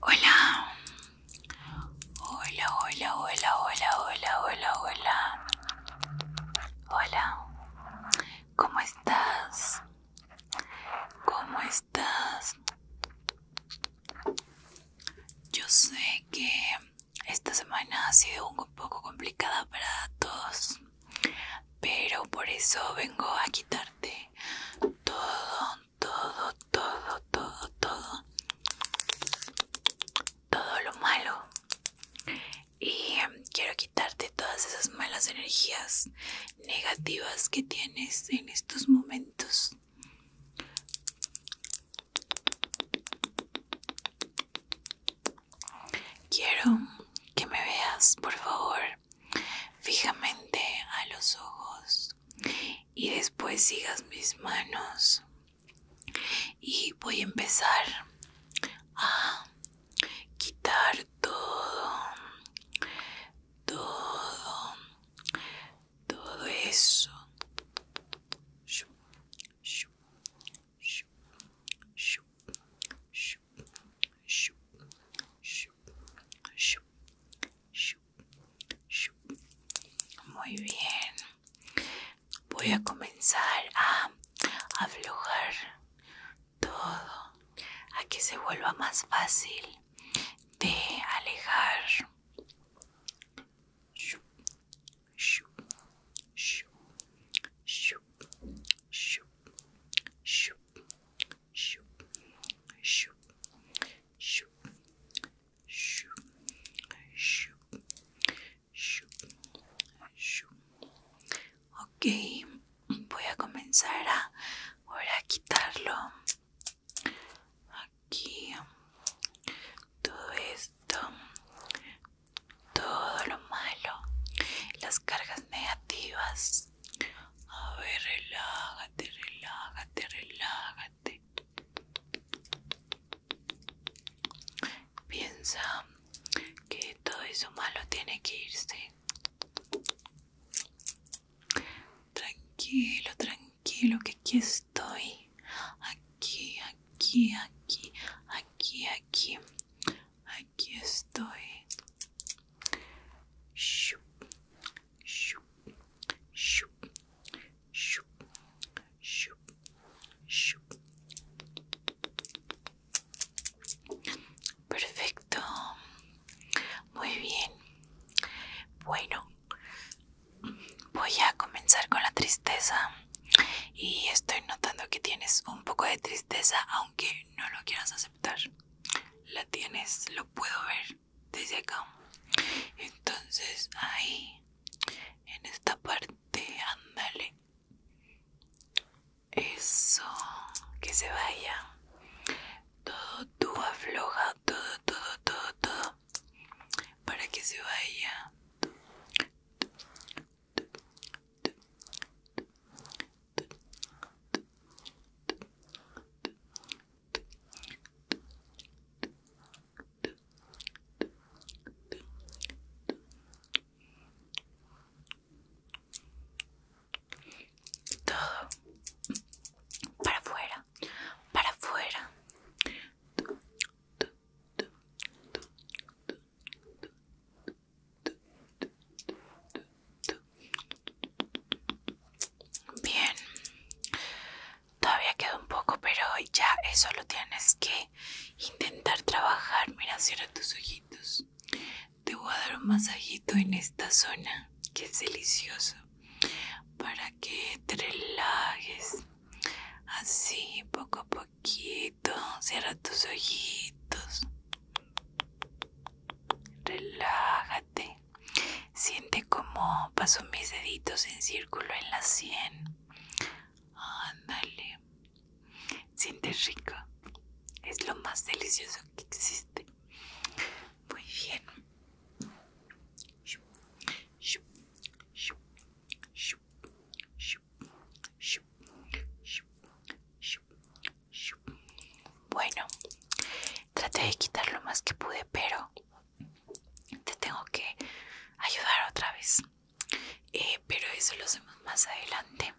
Hola. Hola, hola, hola, hola, hola, hola, hola. Hola. ¿Cómo estás? ¿Cómo estás? Yo sé que esta semana ha sido un poco complicada para todos, pero por eso vengo a quitarte todo, todo, todo, todo, todo, todo lo malo. Y em, quiero quitarte todas esas malas energías negativas que tienes en estos momentos. Quiero que me veas, por favor, fijamente a los ojos y después sigas mis manos y voy a empezar a quitar todo todo todo eso muy bien. Voy a comenzar a aflojar todo a que se vuelva más fácil de alejar. Ok, voy a comenzar a, ahora a quitarlo aquí todo esto, todo lo malo, las cargas negativas a ver, relájate, relájate, relájate. Piensa que todo eso malo tiene que irse. Tranquilo, tranquilo, que aquí estoy. Aquí, aquí, aquí, aquí, aquí aquí estoy perfecto muy bien bueno voy a comenzar con la tristeza y estoy notando que tienes un poco de tristeza aunque no lo quieras aceptar. La tienes, lo puedo ver desde acá. Entonces, ahí, en esta parte, ándale. Eso, que se vaya. Todo tu afloja, todo, todo, todo, todo. Para que se vaya. Todo para afuera, para afuera. Tu, Bien, todavía queda un poco, pero ya eso lo tienes que intentar trabajar. Mira, cierra tus ojitos. Te voy a dar un masajito en esta zona, que es delicioso, para que te relajes así poco a poco cierra tus ojitos, relájate, siente como paso mis deditos en círculo en la sien, ándale, siente rico, es lo más delicioso que existe, muy bien. Bueno, traté de quitar lo más que pude, pero te tengo que ayudar otra vez. Eh, pero eso lo hacemos más adelante.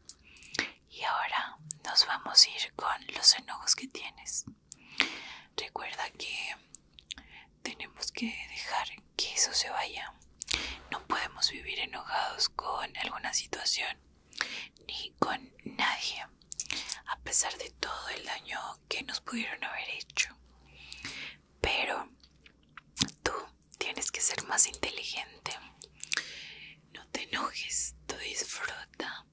Y ahora nos vamos a ir con los enojos que tienes. Recuerda que tenemos que dejar que eso se vaya. No podemos vivir enojados con alguna situación ni con nadie, a pesar de todo el daño que nos pudieron haber hecho. Pero tú tienes que ser más inteligente. No te enojes, tú disfruta,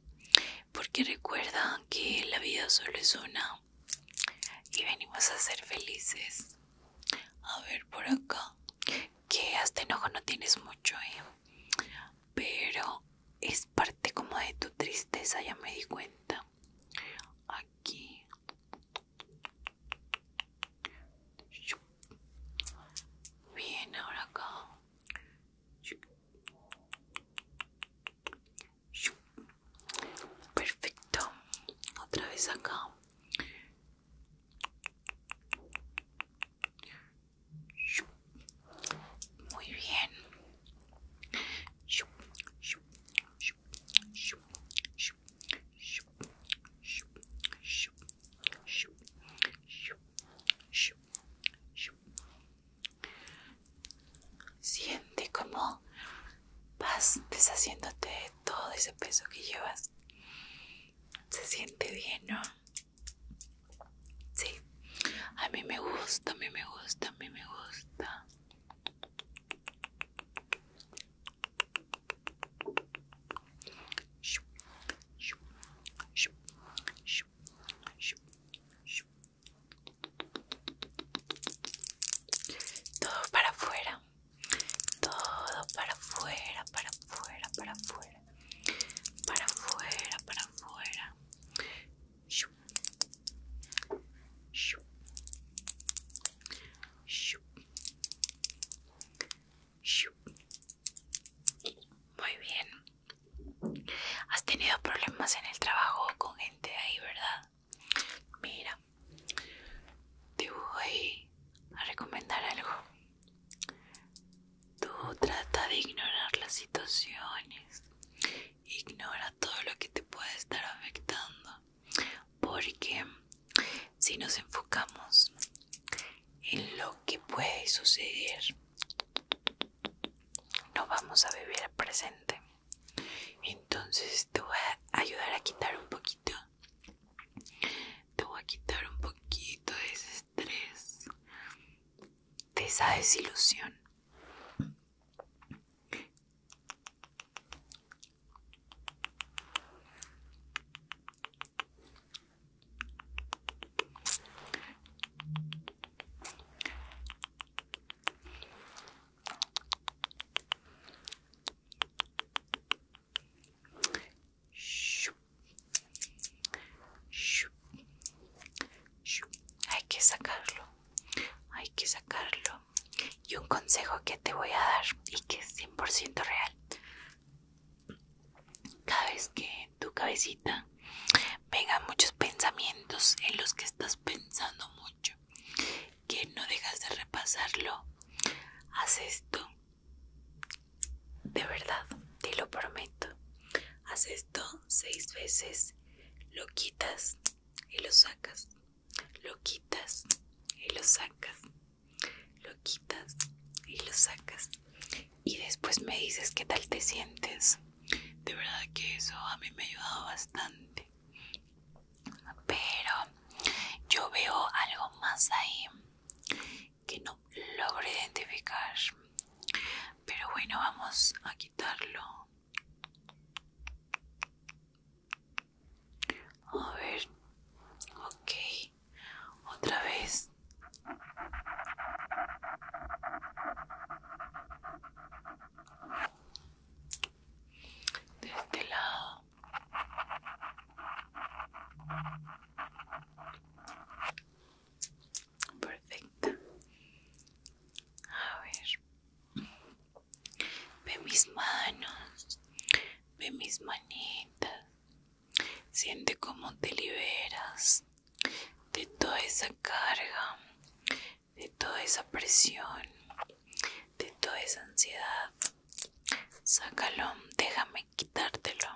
porque recuerda que la vida solo es una y venimos a ser felices. A ver por acá. Que hasta enojo no tienes mucho, ¿eh? Pero es parte como de tu tristeza, ya me di cuenta. Aquí. Bien, ahora acá. Perfecto. Otra vez acá. Muy bien. Siente como vas deshaciéndote de todo ese peso que llevas. Se siente bien, ¿no? Sí, a mí me gusta, a mí me gusta, a mí me gusta. Todo para afuera, todo para afuera, para afuera, para afuera, para afuera, para afuera. Muy bien. ¿Has tenido problemas en el trabajo con gente ahí, verdad? Mira, te voy a recomendar algo. Tú trata de ignorar las situaciones. Ignora todo lo que te puede estar afectando. Porque si nos enfocamos en lo que puede suceder, no vamos a vivir el presente entonces te voy a ayudar a quitar un poquito te voy a quitar un poquito de ese estrés de esa desilusión hay que sacarlo, hay que sacarlo. Y un consejo que te voy a dar y que es 100% real. Cada vez que tu cabecita venga muchos pensamientos en los que estás pensando mucho que no dejas de repasarlo haz esto de verdad te lo prometo haz esto seis veces lo quitas y lo sacas lo quitas y lo sacas lo quitas y lo sacas y después me dices qué tal te sientes de verdad que eso a mí me ha ayudado bastante pero yo veo algo más ahí que no logro identificar pero bueno vamos a quitarlo a ver ok otra vez de este lado perfecto a ver ve mis manos ve mis manitas siente cómo te liberas de toda esa carga de toda esa presión, de toda esa ansiedad. Sácalo, déjame quitártelo.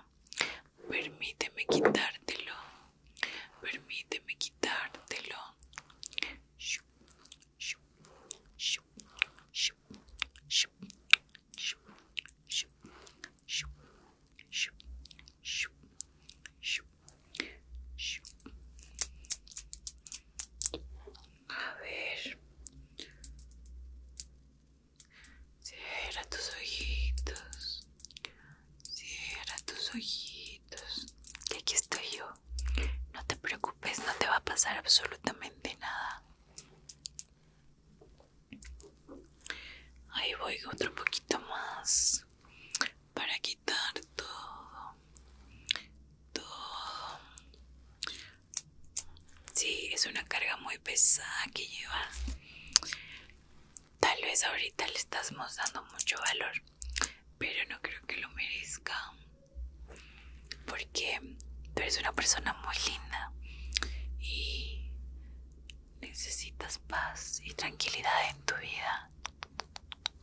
Permíteme quitártelo. Permíteme quitártelo. A ver. Cierra tus ojitos. Cierra tus ojitos. Y aquí estoy yo. No te preocupes, no te va a pasar absolutamente nada. Ahí voy otro poquito más para quitar todo todo sí es una carga muy pesada que llevas tal vez ahorita le estás mostrando mucho valor pero no creo que lo merezca porque tú eres una persona muy linda y necesitas paz y tranquilidad en tu vida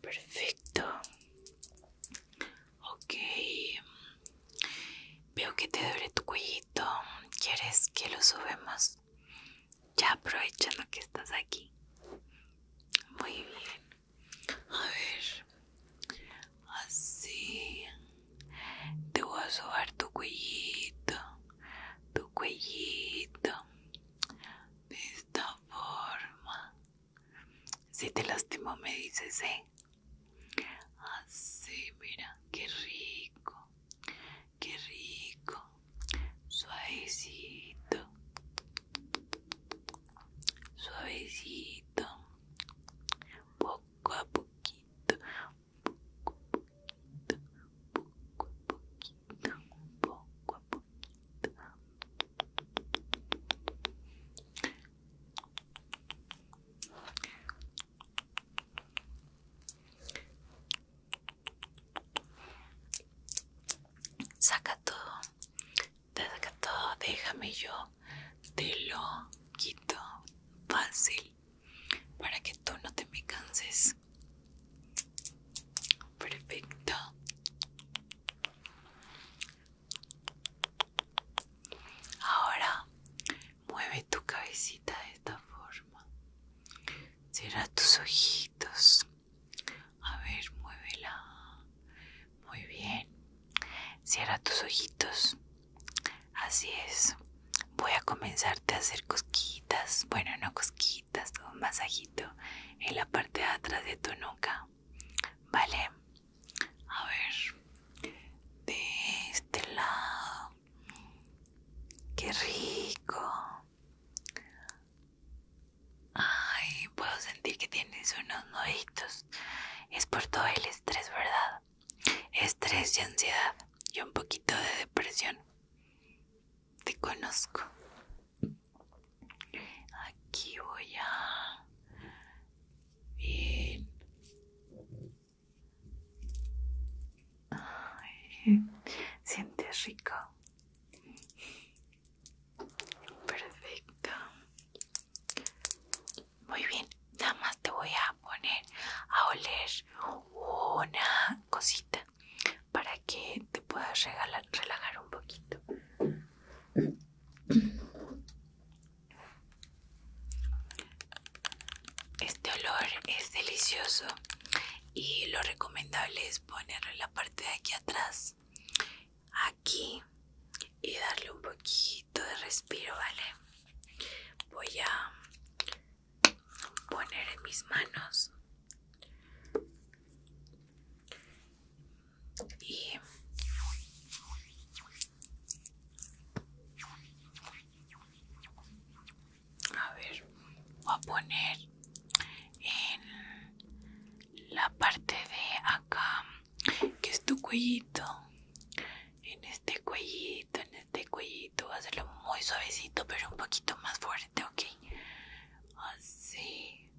Perfecto. Ok. Veo que te duele tu cuellito. ¿Quieres que lo subamos? Ya aprovechando que estás aquí. Muy bien. A ver. Así. Te voy a subir tu cuellito. Tu cuellito esta forma. Si te lastimo me dices, ¿eh? Así, ah, mira, qué rico, qué rico, suavecito, suavecito, poco a poquito, poco a poquito, poco a poquito poco saca todo saca todo déjame yo te lo quito fácil para que tú no te me canses Perfecto. Ahora mueve tu cabecita de esta forma. Cierra tus ojitos. A ver, muévela. Muy bien. Cierra tus ojitos. Así es. Voy a comenzarte a hacer cosquitas Bueno, no cosquitas un masajito en la parte de atrás de tu nuca. Vale, a ver, de este lado. Qué rico. Ay, puedo sentir que tienes unos noditos Es por todo el estrés, ¿verdad? Estrés y ansiedad y un poquito de depresión te conozco. Aquí voy a... Bien. sientes rico. Perfecto. Muy bien. Nada más te voy a poner a oler una cosita para que te puedas relajar un poquito. Este olor es delicioso y lo recomendable es ponerlo la parte de aquí atrás, aquí y darle un poquito de respiro, ¿vale? Voy a poner en mis manos y a ver voy a poner en la parte de acá que es tu cuellito en este cuellito en este cuellito, hacerlo muy suavecito, pero un poquito más fuerte, ¿ok? Así,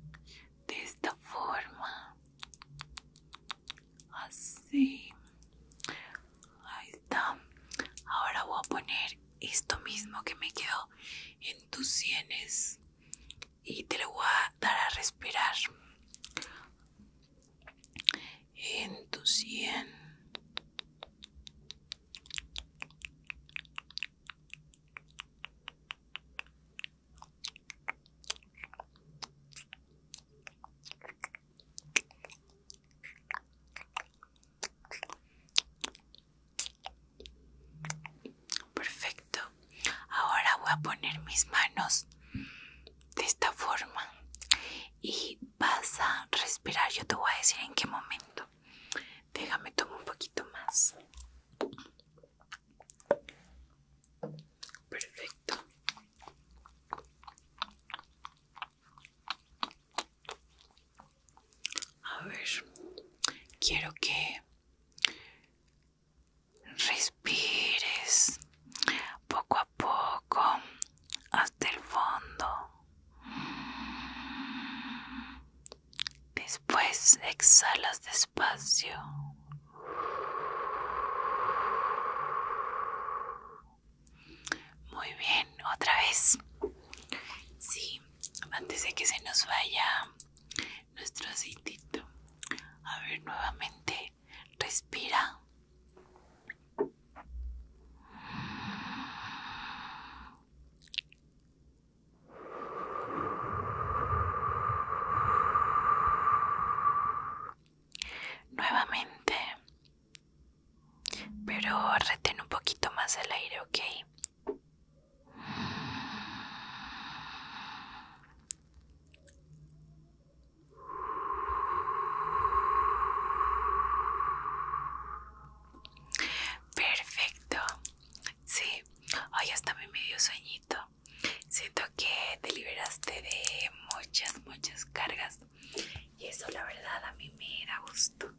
de esta forma, así, ahí está. Ahora voy a poner esto mismo que me quedó en tus sienes y te lo voy a dar a respirar en tu cien, Perfecto. Ahora voy a poner mis manos de esta forma y vas a respirar. Yo te voy a decir en qué momento. Déjame tomar un poquito más. Perfecto. A ver, quiero que respires poco a poco hasta el fondo. Después exhalas despacio. Muy bien, otra vez. Sí, antes de que se nos vaya nuestro citito A ver, nuevamente, respira. Nuevamente, pero retén un poquito más el aire, ¿ok? Perfecto. Sí, hoy hasta mi medio sueñito. Siento que te liberaste de muchas, muchas cargas. Y eso la verdad a mí me da gusto.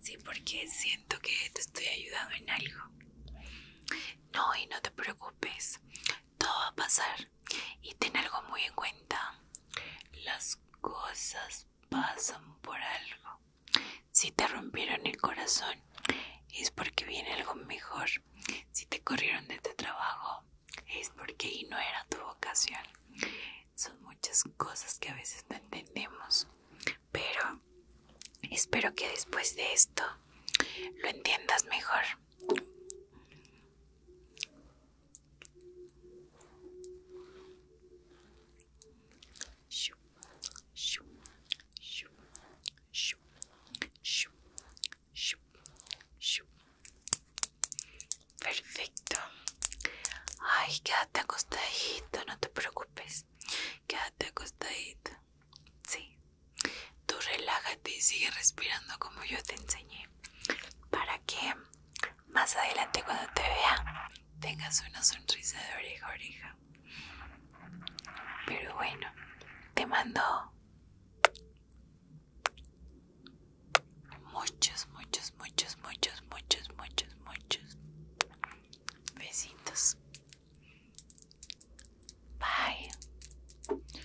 Sí, porque siento que te estoy ayudando en algo. No, y no te preocupes. Todo va a pasar y ten algo muy en cuenta. Las cosas pasan por algo. Si te rompieron el corazón es porque viene algo mejor. Si te corrieron de tu trabajo es porque ahí no era tu vocación. Son muchas cosas que a veces no entendemos. Pero espero que después de esto lo entiendas mejor. Perfecto. Ay, quédate acostadito, no te preocupes. Quédate acostadito. Sí. Tú relájate y sigue respirando como yo te enseñé para que más adelante cuando te vea tengas una sonrisa de oreja a oreja. Pero bueno, te mando muchos, muchos, muchos, muchos, muchos, muchos, muchos besitos. Bye.